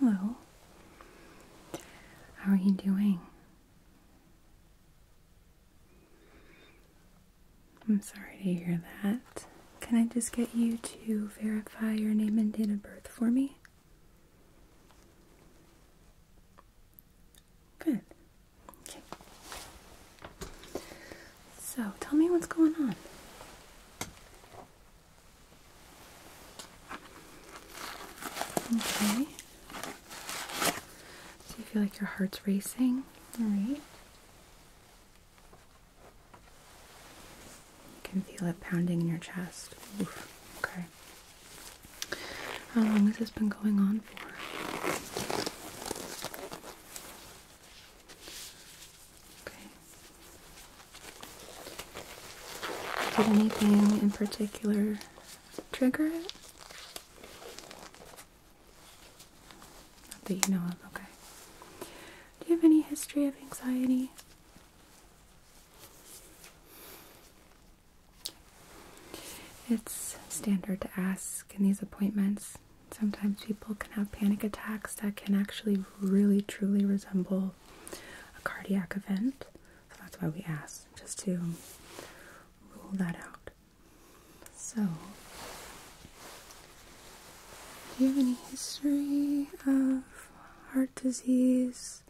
Hello. How are you doing? I'm sorry to hear that. Can I just get you to verify your name and date of birth for me? Good. Okay. So, tell me what's going on. Okay. Do you feel like your heart's racing? All right. You can feel it pounding in your chest. Okay. How long has this been going on for? Okay. Did anything in particular trigger it? Not that you know of, okay. Do you have any history of anxiety? It's standard to ask in these appointments. Sometimes people can have panic attacks that can actually really truly resemble a cardiac event. So that's why we ask, just to rule that out. So, do you have any history of heart disease,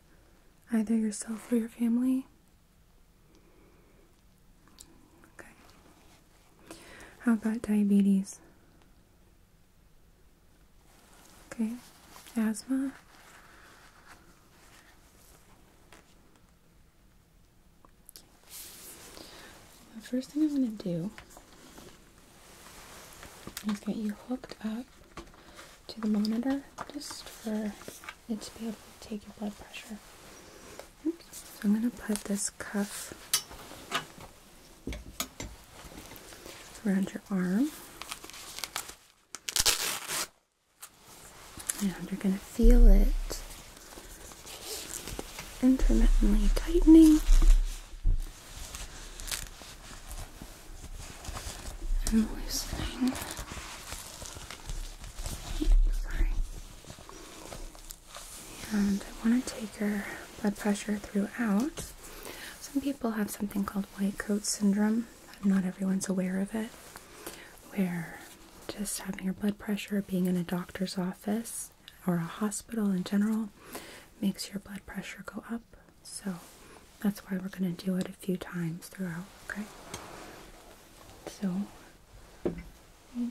either yourself or your family? Okay. How about diabetes? Okay. Asthma? The first thing I'm going to do is get you hooked up to the monitor just for it to be able to take your blood pressure. So I'm going to put this cuff around your arm. And you're going to feel it intermittently tightening and loosening. Sorry. And I want to take her blood pressure throughout. Some people have something called white coat syndrome. Not everyone's aware of it, where just having your blood pressure, being in a doctor's office, or a hospital in general makes your blood pressure go up. So that's why we're going to do it a few times throughout, okay? So just oh,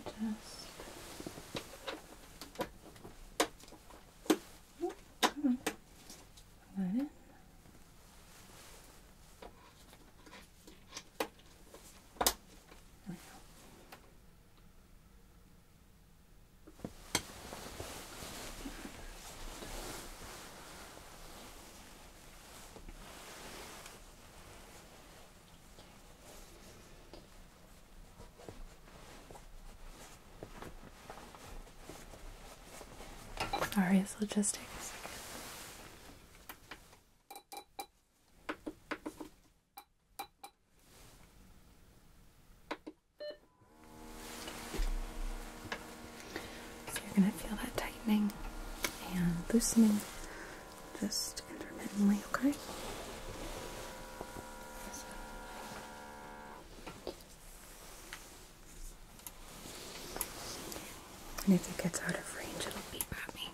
come on. Let in. Sorry, this will just take a second. So you're going to feel that tightening and loosening just intermittently, okay? And if it gets out of range, it'll beep at me.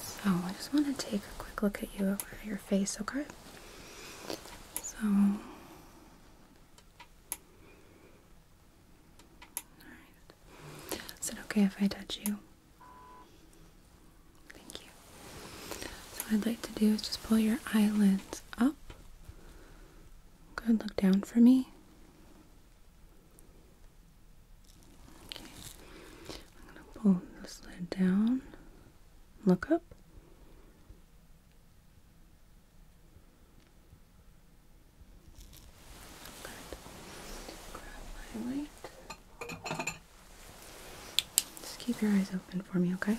So I just want to take a quick look at you, your face, okay? So, all right. Is it okay if I touch you? Thank you. So I'd like to do is just pull your eyelids up. Good, look down for me. Okay, I'm gonna pull the lid down. Look up. Good. Grab my light. Just keep your eyes open for me, okay?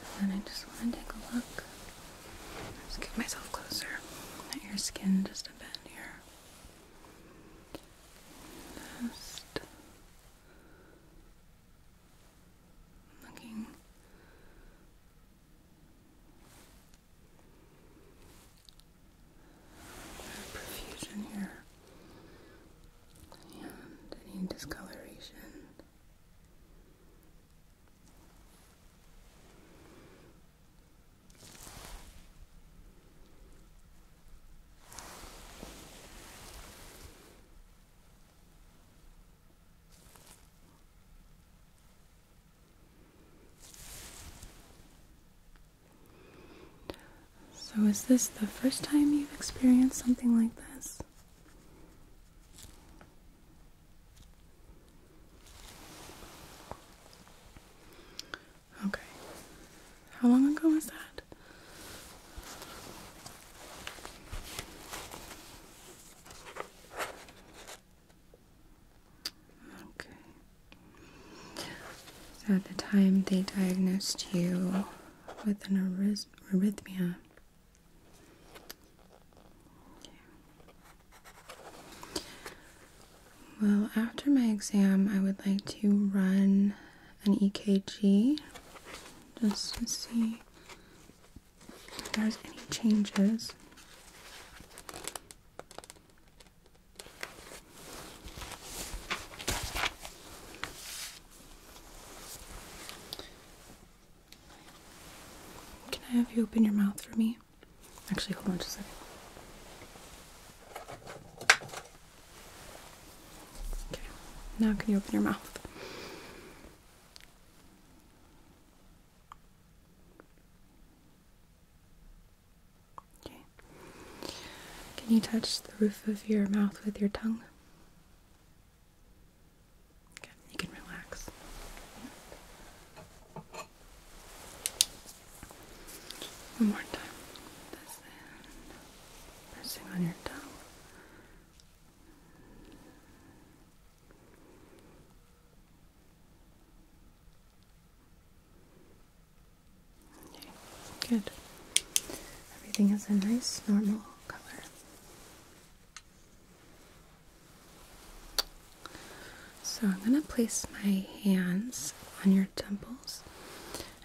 So then I just want to take a look. Just get myself closer your skin just a bit here. Just looking at profusion here and any discoloration. So, is this the first time you've experienced something like this? Okay. How long ago was that? Okay. at the time they diagnosed you with an arrhythmia. Well, after my exam, I would like to run an EKG just to see there's any changes. Can I have you open your mouth for me? Actually, hold on just a second. Okay, now can you open your mouth? Can you touch the roof of your mouth with your tongue? you can relax. One more time. Pressing on your tongue. Okay, good. Everything is a nice normal color. So I'm going to place my hands on your temples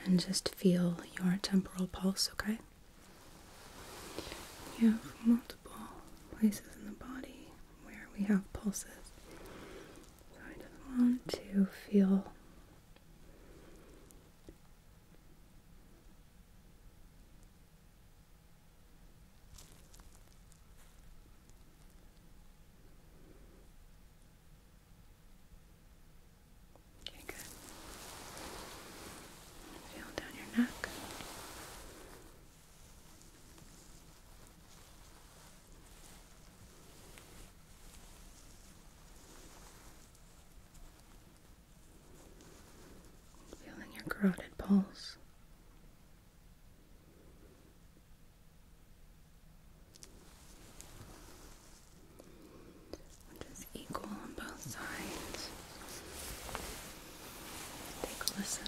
and just feel your temporal pulse, okay? You have multiple places in the body where we have pulses. So I just want to feel Okay, good. Feel down your neck. Feeling your carotid pulse which is equal on both sides. Take a listen.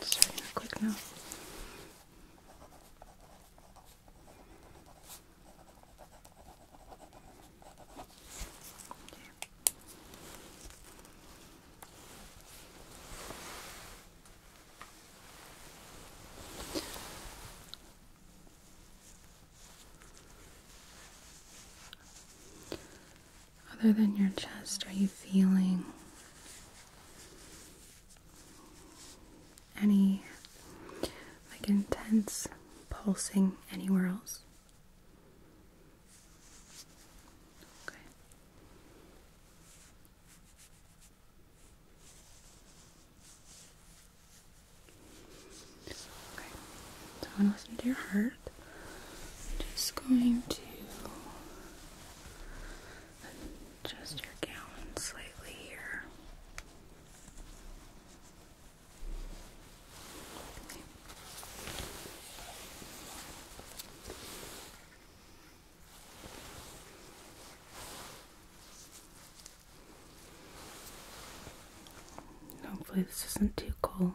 Just writing a quick note other than your chest are you feeling? Any like intense pulsing anywhere else? Okay. Okay. So listen to your heart. Just going to adjust your gown slightly here. Hopefully, this isn't too cold.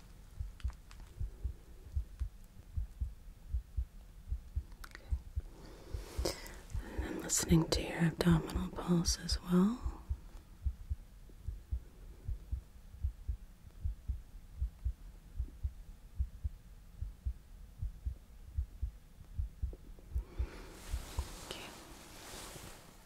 And I'm listening to your abdominal pulse as well. Okay.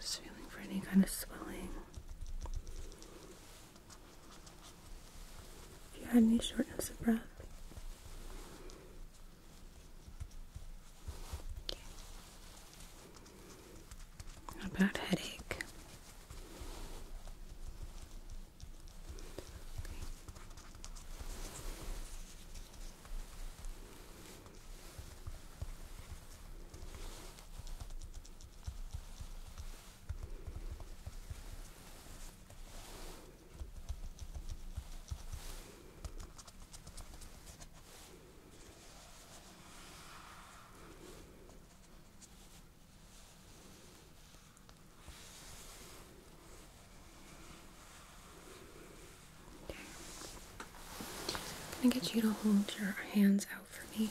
Just feeling for any kind of swelling. you had any shortness of breath, what about headache? i get you to hold your hands out for me.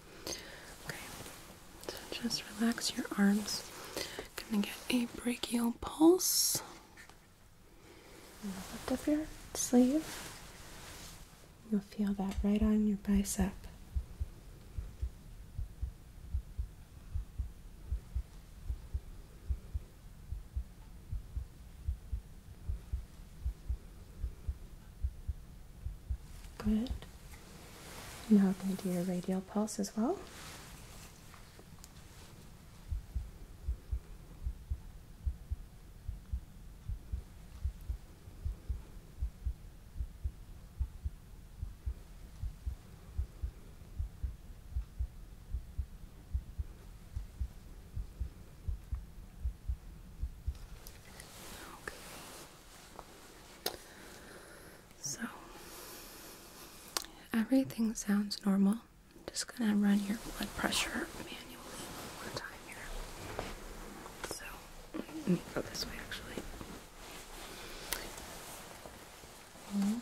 Okay, so just relax your arms. Gonna get a brachial pulse. Lift up your sleeve. You'll feel that right on your bicep. Good. Now I'm going to do your radial pulse as well. Okay. So everything sounds normal. just gonna run your blood pressure manually one more time here. So go this way actually. -hmm.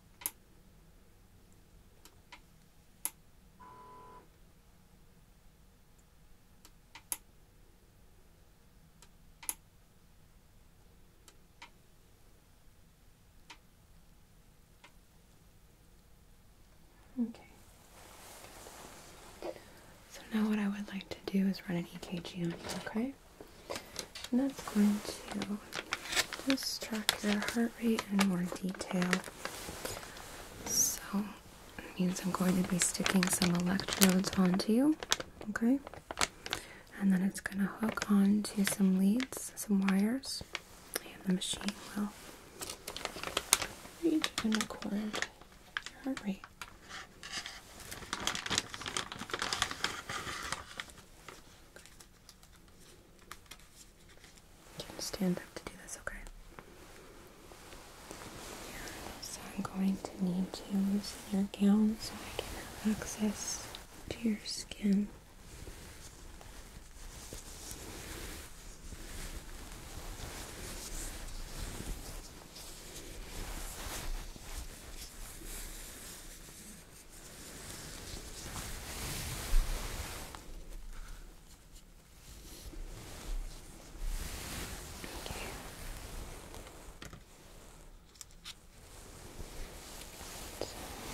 Okay. So now what I would like to do is run an EKG on you, okay? And that's going to just track your heart rate in more detail. So it means I'm going to be sticking some electrodes onto you, okay? And then it's going to hook onto some leads, some wires, and the machine will read and record your heart rate. Can stand up to do this, okay? so I'm going to need to use your gown so I can have access to your skin.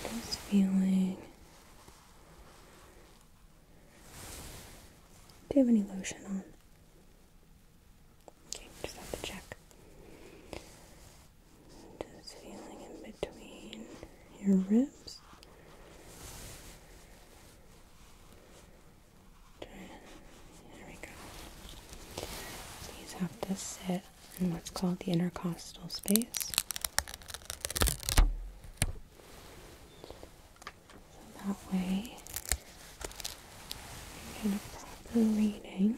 So just feeling. Do you have any lotion on? Okay, just have to check. Just feeling in between your ribs. There we go. These have to sit in what's called the intercostal space. So that way you are going get a proper reading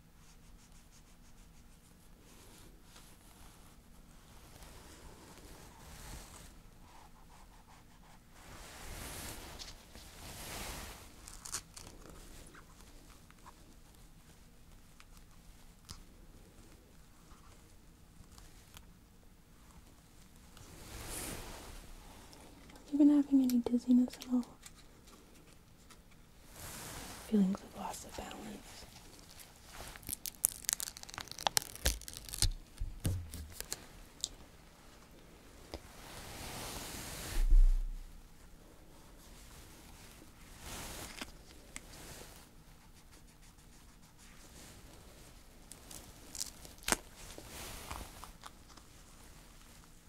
Have you been having any dizziness at all? Feelings of loss of balance.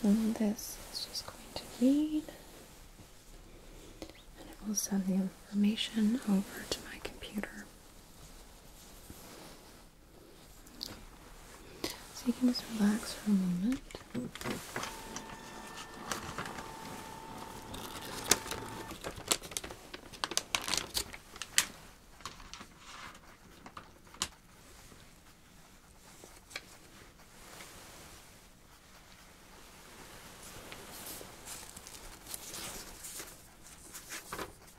So this is just going to read and it will send the information over to my computer. So you can just relax for a moment.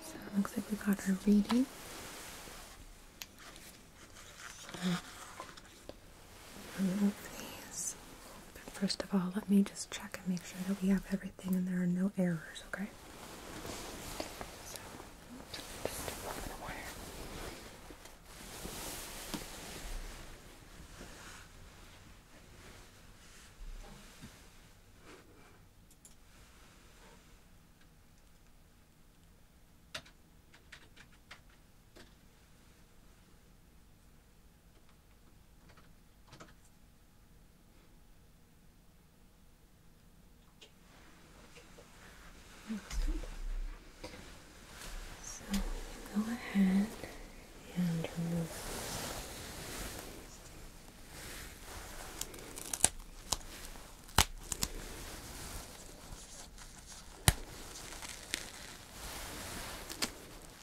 So it looks like we got our reading remove these. But first of all, let me just check and make sure that we have everything and there are no errors, Okay. That's good. So go ahead and remove.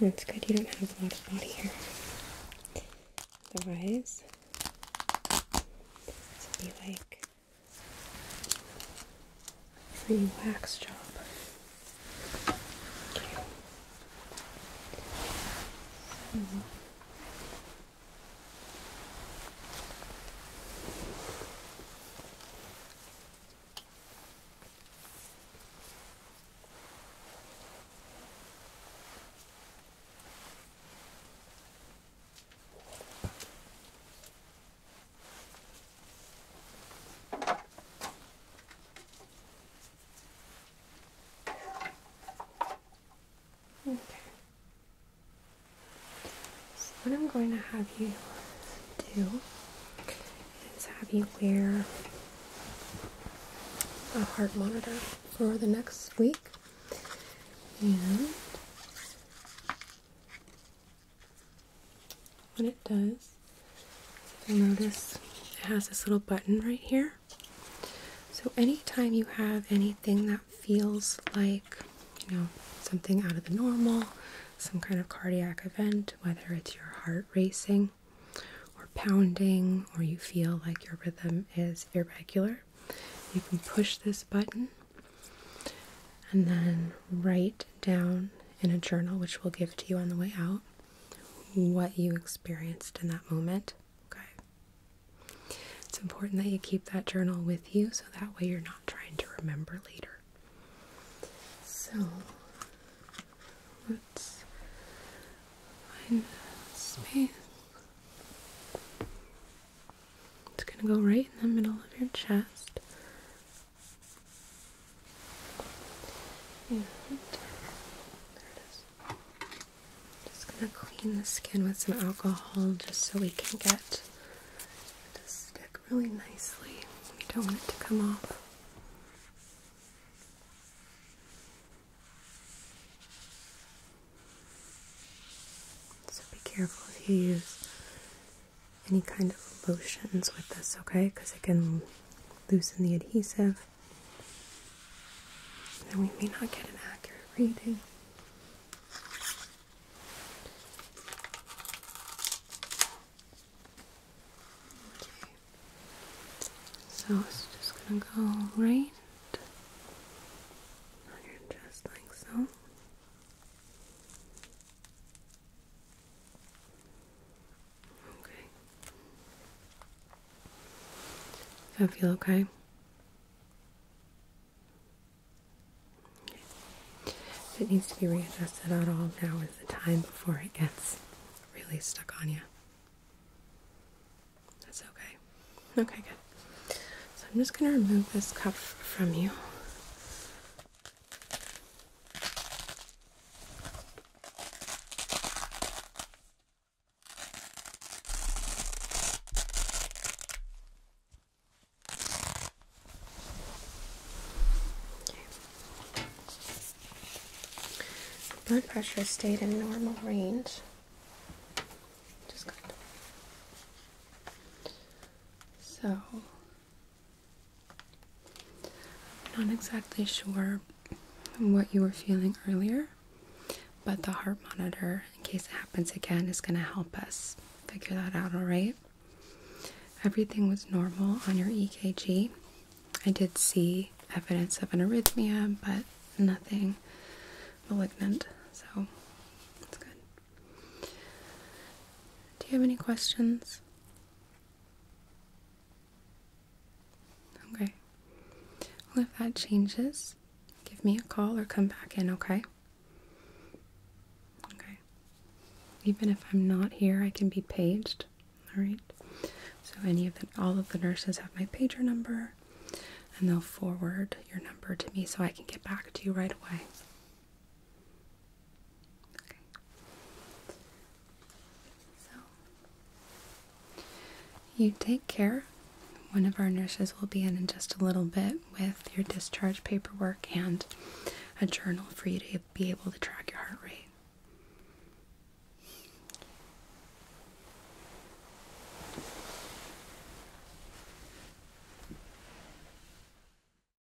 That's good, you don't have a lot of body hair. Otherwise, this would be like free wax job. So what I'm going to have you do is have you wear a heart monitor for the next week what it does, you'll notice it has this little button right here. So anytime you have anything that feels like, you know, something out of the normal, some kind of cardiac event, whether it's your heart racing or pounding, or you feel like your rhythm is irregular, you can push this button and then write down in a journal, which we'll give to you on the way out, what you experienced in that moment. Okay. It's important that you keep that journal with you so that way you're not trying to remember later. So let's find space. It's going to go right in the middle of your chest. And Just gonna clean the skin with some alcohol just so we can get it to stick really nicely. We don't want it to come off. So be careful if you use any kind of lotions with this, okay? Because it can loosen the adhesive. And we may not get an accurate reading. Okay. So it's just gonna go right on your chest like so. Okay. I feel okay? If it needs to be readjusted at all, now is the time before it gets really stuck on you. That's okay. Okay, good. So I'm just going to remove this cuff from you. Blood pressure stayed in normal range. So I'm not exactly sure what you were feeling earlier, but the heart monitor, in case it happens again, is going to help us figure that out, all right? Everything was normal on your EKG. I did see evidence of an arrhythmia, but nothing malignant, so that's good. Do you have any questions? Okay. Well, if that changes, give me a call or come back in, okay? Okay. Even if I'm not here, I can be paged. All right. So any of the, all of the nurses have my pager number, and they'll forward your number to me so I can get back to you right away. Okay. So, you take care. One of our nurses will be in in just a little bit with your discharge paperwork and a journal for you to be able to track your heart rate.